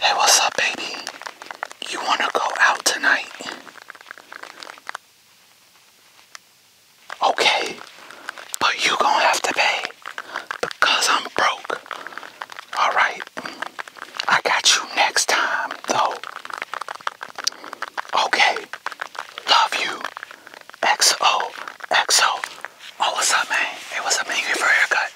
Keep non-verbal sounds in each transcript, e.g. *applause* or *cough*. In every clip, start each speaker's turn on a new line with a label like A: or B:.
A: Hey, what's up, baby? You want to go out tonight? Okay, but you going have to pay because I'm broke. Alright? I got you next time, though. Okay. Love you. XO. Oh, what's up, man? Hey, what's up, man? You for a haircut?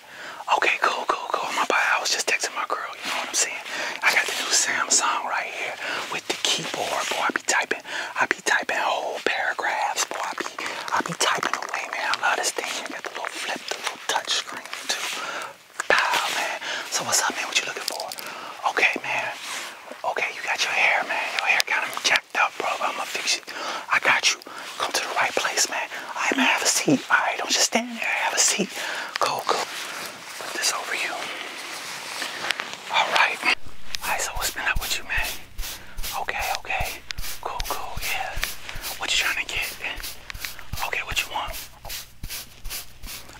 A: Okay, cool, cool, cool. My bad. I was just texting my girl. You know what I'm saying? I got the new Samsung right here with the keyboard. Boy, I be typing. I be typing whole paragraphs. Boy, I be, I be typing away, man. I love this thing. I got the little flip, the little touch screen, too. Pow, man. So what's up, man? What you looking for? Okay, man. Okay, you got your hair, man. Your hair kind of jacked up, bro. I'ma fix it. I got you. Come to the right place, man. I am going to have a seat. All right, don't just stand there. Have a seat. Go, go. Put this over you. All right. All right, so what's been up with you, man? Okay, okay. Cool, cool, yeah. What you trying to get? Okay, what you want?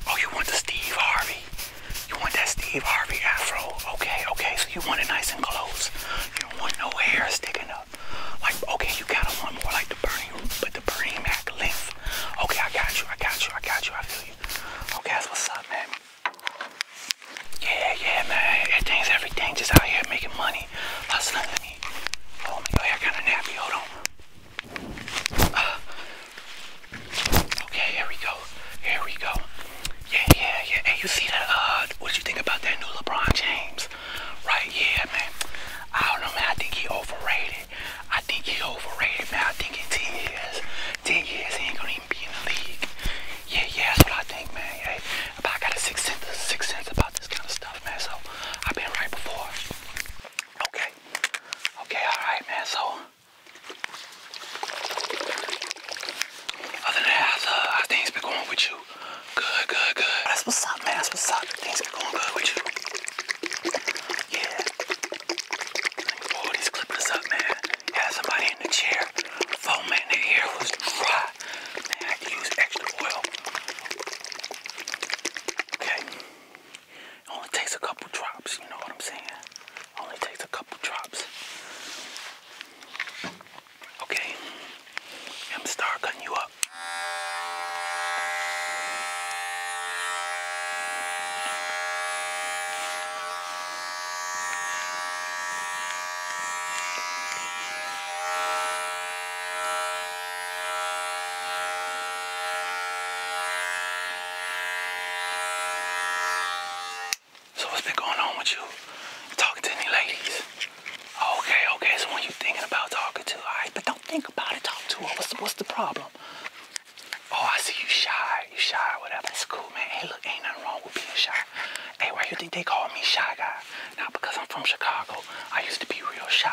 A: Oh, you want the Steve Harvey? You want that Steve Harvey afro? Okay, okay. So you want it nice and close. You don't want no hair sticking up. Like, okay, you gotta want more like the Bernie, but the Bernie Mac length. Okay, I got you. I got you. I got you. I feel you. Okay, that's what's up, man. Yeah, yeah, man. Everything's everything. Just out here making money, hustling. Hold oh, me. Oh, I got a nappy. Hold on. Uh, okay, here we go. Here we go. Yeah, yeah, yeah. Hey, you see that? Uh, what you think about that new LeBron James? Right, yeah, man. I don't know, man. I think he overrated. I think he overrated, man. I think in 10 years, 10 years, he ain't gonna even be in the league. Yeah, yeah, that's what I think, man. Hey, but I got a sixth sense, sixth sense about this kind of stuff, man. So I've been right before. Okay, okay, all right, man. So other than that, how's, uh, how's things been going with you? Good, good, good. what's up, man. what's up. Things been going good with you. Yeah. Boy, these clippers up, man. Had somebody in the chair. Foam in the hair was dry. I had to use extra oil. Okay. It only takes a couple drops, you know what I'm saying? It only takes a couple drops. Okay. I'm gonna you up. So what's been going on with you? talking to any ladies? Okay, okay, so when you thinking about talking to, all right, but don't think about it, talk to her. What's the, problem? Oh, I see you shy, you shy or whatever. That's cool, man. Hey, look, ain't nothing wrong with being shy. Hey, why you think they call me shy guy? Not because I'm from Chicago. I used to be real shy.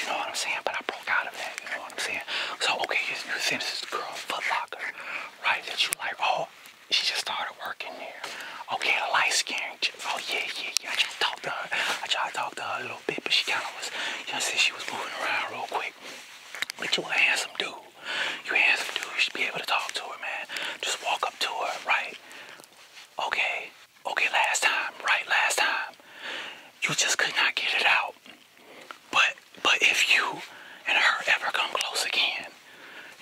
A: You know what I'm saying? But I so, okay, you're saying this is a girl, Footlocker, right? That you like, oh, she just started working here. Okay, a light skin. Oh, yeah, yeah, yeah. I tried to talk to her. I tried to talk to her a little bit, but she kind of was, I said she was moving around real quick. But you a handsome dude. You a handsome dude. You should be able to talk to her, man. Just walk up to her, right? Okay. Okay, last time, right? Last time. You just could not get it out. But but if you and her ever come close again,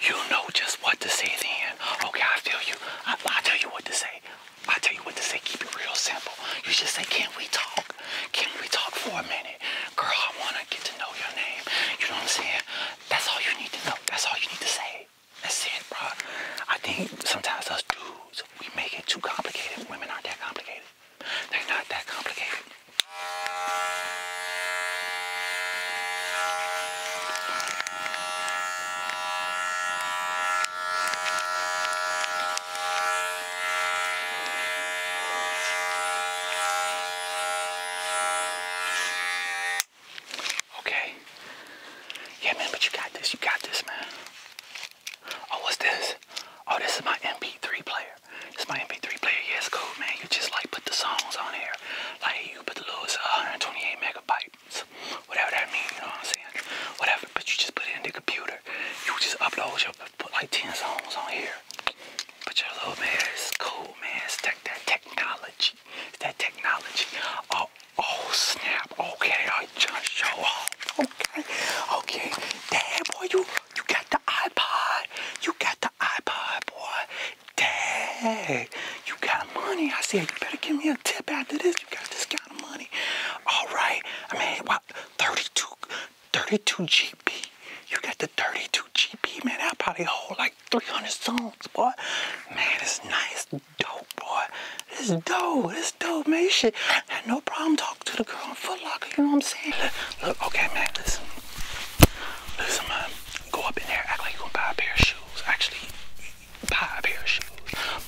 A: you know just what to say then. Okay, I feel you. I, will tell you what to say. I'll tell you what to say. Keep it real simple. You just say, can we talk? Can we talk for a minute? Girl, I want to get to know your name. You know what I'm saying? That's all you need to know. That's all you need to say. That's it, bro. I think sometimes us dudes, we make it too complicated. Women aren't that complicated. They're not that complicated. Okay. Yeah, man, but you got this. You got this, man. Oh, what's this? Oh, this is my MP3 player. This my MP3 player. Yeah, it's cool, man. You just like put the songs on here. Like you put the little 128 megabytes, whatever that means. You know what I'm saying? Whatever. But you just put it in the computer. You just upload your put like 10 songs on here. But your little man, it's cool, man. It's that, that technology. It's that technology. Oh, oh snap. Okay, I just show off. Okay, okay. Dad, boy, you you got the iPod. You got the iPod, boy. Dang. You got money. I said, you better give me a tip after this. You got this kind of money. All right. I mean, what? 32, 32 GB. You got the 32 GB, man. That probably hold like 300 songs, boy. Man, it's nice. Dope, boy. This dope. This dope, man. Shit. Had no problem talking to the girl on Foot Locker, you know what I'm saying? Look, okay, man, listen. Listen, man. Go up in there, act like you're gonna buy a pair of shoes. Actually, buy a pair of shoes.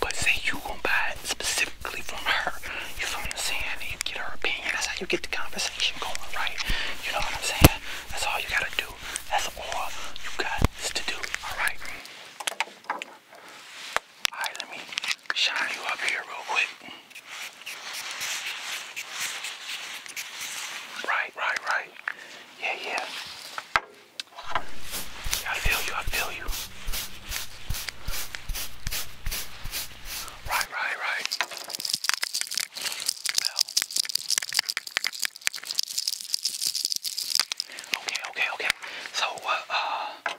A: But say you gonna buy it specifically from her. You feel what I'm saying? You get her opinion. That's how you get the conversation going, right? You know what I'm saying? That's all you gotta do. That's all you got is to do, alright? Alright, let me shine you up here real quick. Right, right, right. Yeah, yeah. I feel you, I feel you. Right, right, right. Well. Okay, okay, okay. So, uh, uh,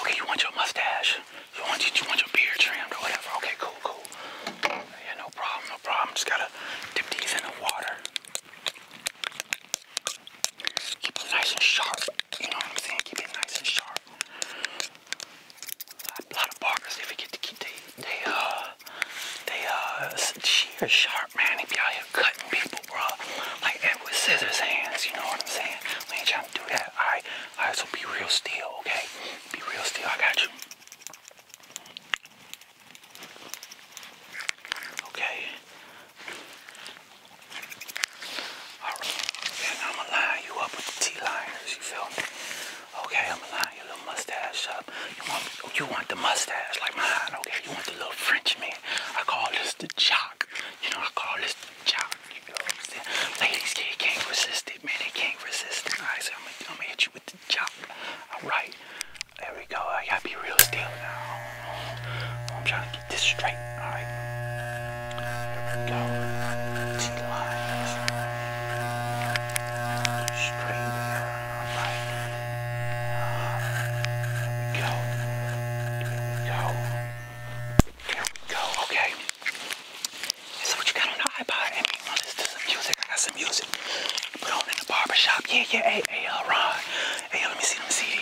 A: Okay, you want your mustache? You want you, you want your beard trimmed or whatever? Okay, cool, cool. Yeah, no problem, no problem. Just gotta dip these in the water. Keep it nice and sharp. You know what I'm saying? Keep it nice and sharp. A lot of barbers, they forget to keep they they uh they uh sheer sharp, man. They be out here cutting people, bro. Like Edward Scissors hands. You know what I'm saying? We ain't trying to do that. All right. Alright, so be real still, okay? Be real still, I got you. Okay. Alright, and I'm gonna line you up with the T-liners, you feel me? Okay, I'm gonna line your little mustache up. You want, you want the mustache like mine, okay? You want the little French man? I call this the chop. You know, I call this jock. You know what I'm saying? Ladies, they can't resist it, man. They can't resist it. I'm I'm gonna hit you with the jock. Alright. There we go. I gotta be real still now. I'm trying to get this straight. Alright. Here we go. Straight there. Alright. Uh, Here we go. go. There we go. Okay. So what you got on the iPod? I mean, want to some music. I got some music. Put on in the barbershop. Yeah, yeah. Hey, hey, uh, Ron. Hey, uh, let me see them CD.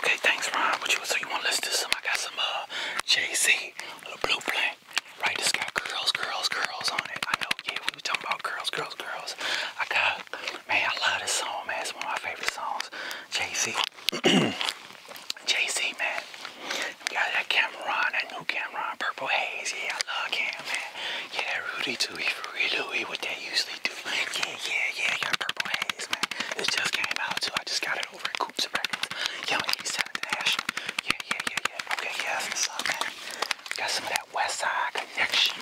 A: Okay, thanks, Ron. What you so you want to listen to some? I got some uh, Jay Z, a Blue Plane. Right, this got girls, girls, girls on it. I know. Yeah, we were talking about girls, girls, girls. I got man, I love this song, man. It's one of my favorite songs. Jay Z. *clears throat* JC, man. We got that Cameron, that new Cameron, Purple Haze. Yeah, I love Cam, man. Yeah, that Rudy, too. He Rudy Louie, what they usually do. Yeah, yeah, yeah, yeah, Purple Haze, man. It just came out, too. I just got it over at Coops Records. Yeah, on 87th National. Yeah, yeah, yeah, yeah. Okay, yeah, that's what's up, man. We got some of that West Side Connection.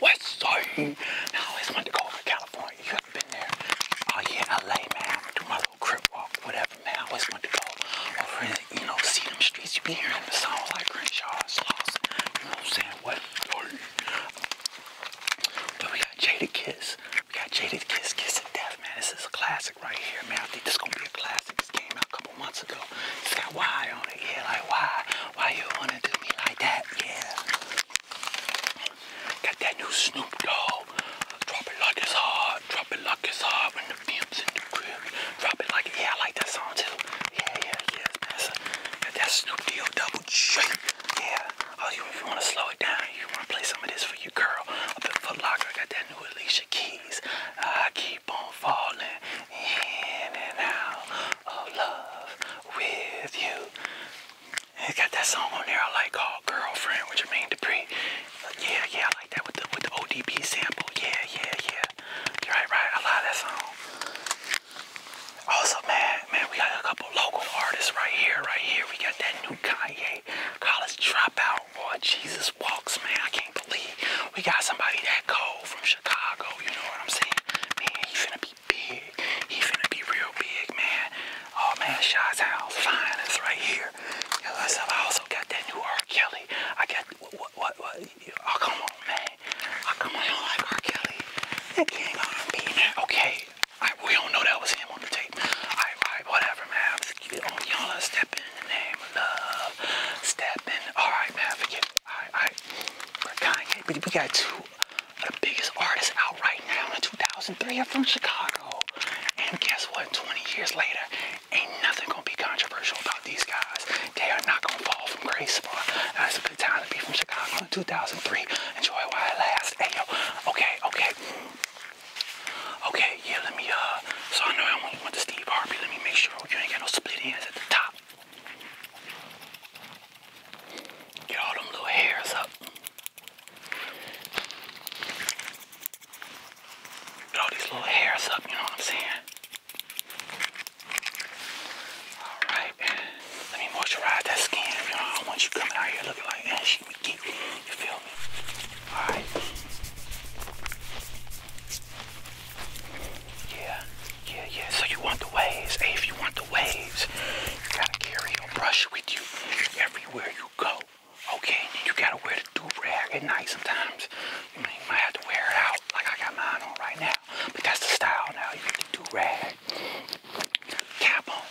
A: West Side. Now, I always wanted to go over to California. You have been there oh yeah, LA, man. I'm do my little crib walk, whatever, man. I always want to go over you know, see them streets. You be hearing the songs like Crenshaw's Lost. You know what I'm saying? What? But we got "Jaded Kiss. We got "Jaded Kiss, Kiss and Death, man. This is a classic right here, man. I think this is gonna be a classic. This came out a couple months ago. It's got why on it, yeah, like why? Why you wanna do me like that? Yeah. Got that new Snoop Dogg. Drop it like it's hard. Drop it like it's hard when the pimp's in the crib. Drop it like, yeah, I like that song too. Yeah, yeah, yeah, that Got that Snoop D O double shake. Yeah. Oh, you, if you want to slow it down, you want to play some of this for your girl. Up at Foot Locker, got that new Alicia Keys. I keep on falling in and out of love with you. It got that song on there I like called uh, Girlfriend with Jermaine Dupri. Uh, yeah, yeah, I like that with the with the ODB sample. Yeah, yeah, yeah. You're right, right. I love that song. Also, man, man, we got a couple local artists right here, right here. We got that new Kanye college dropout. Boy, Jesus walks, man. I can't believe we got somebody that cold from Chicago. You know what I'm saying? Man, he's gonna be big. He's gonna be real big, man. Oh man, Shy's house, fine, it's right here. I also got that new R. Kelly. I got what what what? Oh come on, man. Oh come on, I do like R. Kelly. Okay, we don't know that was him on the tape. Alright, whatever, man. Y'all stepping in the name of love. Stepping. Alright, man, forget Alright, Kanye, but we got two of the biggest artists out right now in 2003 are from Chicago. And guess what? 20 years later, ain't nothing gonna be controversial about these guys. They are not gonna fall from grace, bro. That's a good time to be from Chicago in 2003. Enjoy while it lasts. Hey, yo. Okay, okay. Okay, yeah, let me, uh, so I know I only went to Steve Harvey. Let me make sure you ain't got no split ends at the top. Get all them little hairs up. Get all these little hairs up, you know what I'm saying? Alright, let me moisturize that skin. I want you coming out here looking like that. She you feel me? Alright. Yeah, yeah, yeah. So you want the waves. Hey, if you want the waves, you gotta carry your brush with you everywhere you go. Okay, you gotta wear the do rag at night sometimes. You might have to wear it out like I got mine on right now. But that's the style now. You got the do rag. Cap on.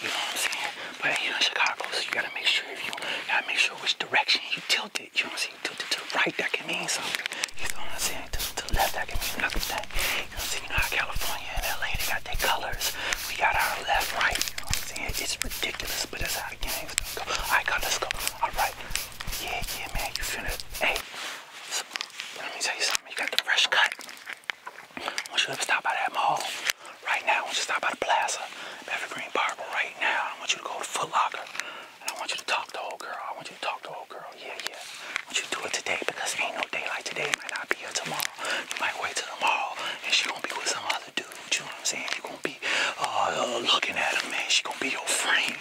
A: You know what I'm saying? But you know Chicago, you gotta make sure you gotta make sure which direction you tilt it. You know what i to the right, that can mean something. You know what I'm saying? To, the left, that can mean nothing. You know You know how California and LA they got got colors. We got our left, right. You know what I'm saying? It's ridiculous, but that's how the game's gonna go. Alright, God, us go. Alright. Yeah, yeah, man, you feel Hey, let me tell you something. You got the fresh cut. I want you to stop by that mall. Right now, I want you to stop by the plaza, Evergreen Barber right now. I want you to go to Foot Locker. I want you to talk to the old girl. I want you to talk to the old girl. Yeah, yeah. I want you to do it today because ain't no day like today. might not be here tomorrow. You might wait till tomorrow and she gonna be with someone you know what I'm saying? You're gonna be uh, looking at him, man. She gonna be your friend,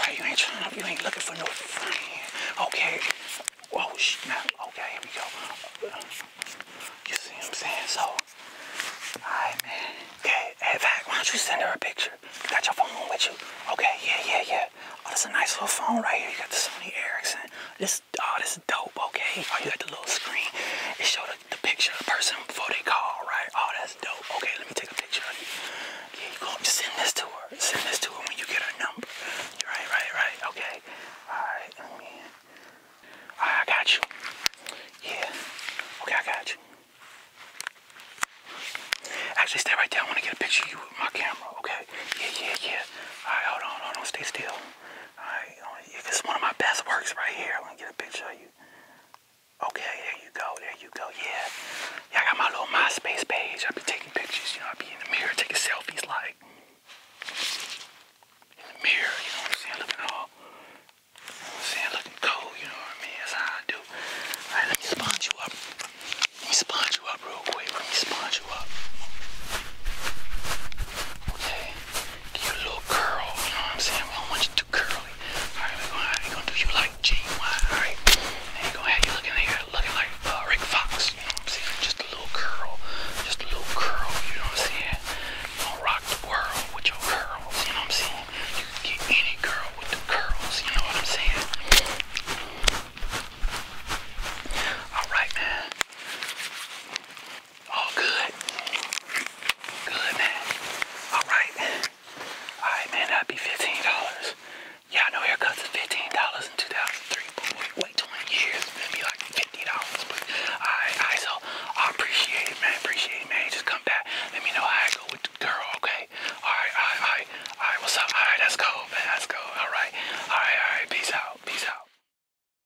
A: right? You ain't trying to, you ain't looking for no friend, okay? Oh, shit, now, okay, here we go. You see what I'm saying? So, alright, man. Okay, hey, why don't you send her a picture? You got your phone with you? Okay, yeah, yeah, yeah. Oh, that's a nice little phone right here. You got the Sony Ericsson. This this oh this is dope, okay. Oh you got the little screen. It showed the, the picture of the person before they call, right? Oh that's dope. Okay, let me take a picture of you. Yeah, you gonna send this to her. Send this to her when you get her number. Right, right, right, okay. Alright, let me Alright, I got you. Yeah. Okay, I got you. Actually, stay right there. I want to get a picture of you with my camera, okay? Yeah, yeah, yeah. All right, hold on, hold on. Stay still. Alright, it's one of my best works right here. I'm gonna get a picture of you. Okay, there you go, there you go, yeah. Yeah, I got my little MySpace page. I be taking pictures, you know, I be in the mirror taking selfies like. In the mirror, you know what I'm saying? Looking all, you know what i saying? Looking cold, you know what I mean? That's how I do. Alright, let me spawn you up. Let me spawn you up real quick. Let me spawn you up. Okay you little curl, you know what I'm saying? I want you to curly. Alright, we're gonna, do you like Gene alright? And you're gonna have you looking like looking like uh, Rick Fox, you know what I'm saying? Just a little curl, just a little curl, you know what I'm saying? You going rock the world with your curls, you know what I'm saying? You can get any girl with the curls, you know what I'm saying? Alright man. All good. Good, man. All right. All right, man. That'd be $15. Yeah, I know haircuts is $15 in 2003, wait, 20 years. It'd be like $50. But all right, all right. I appreciate it, man. Appreciate it, man. Just come back. Let me know how I go with the girl, okay? All right, all right, all right. what's up? All right, that's cool, man. That's cool. All right. All right, all right. Peace out. Peace out.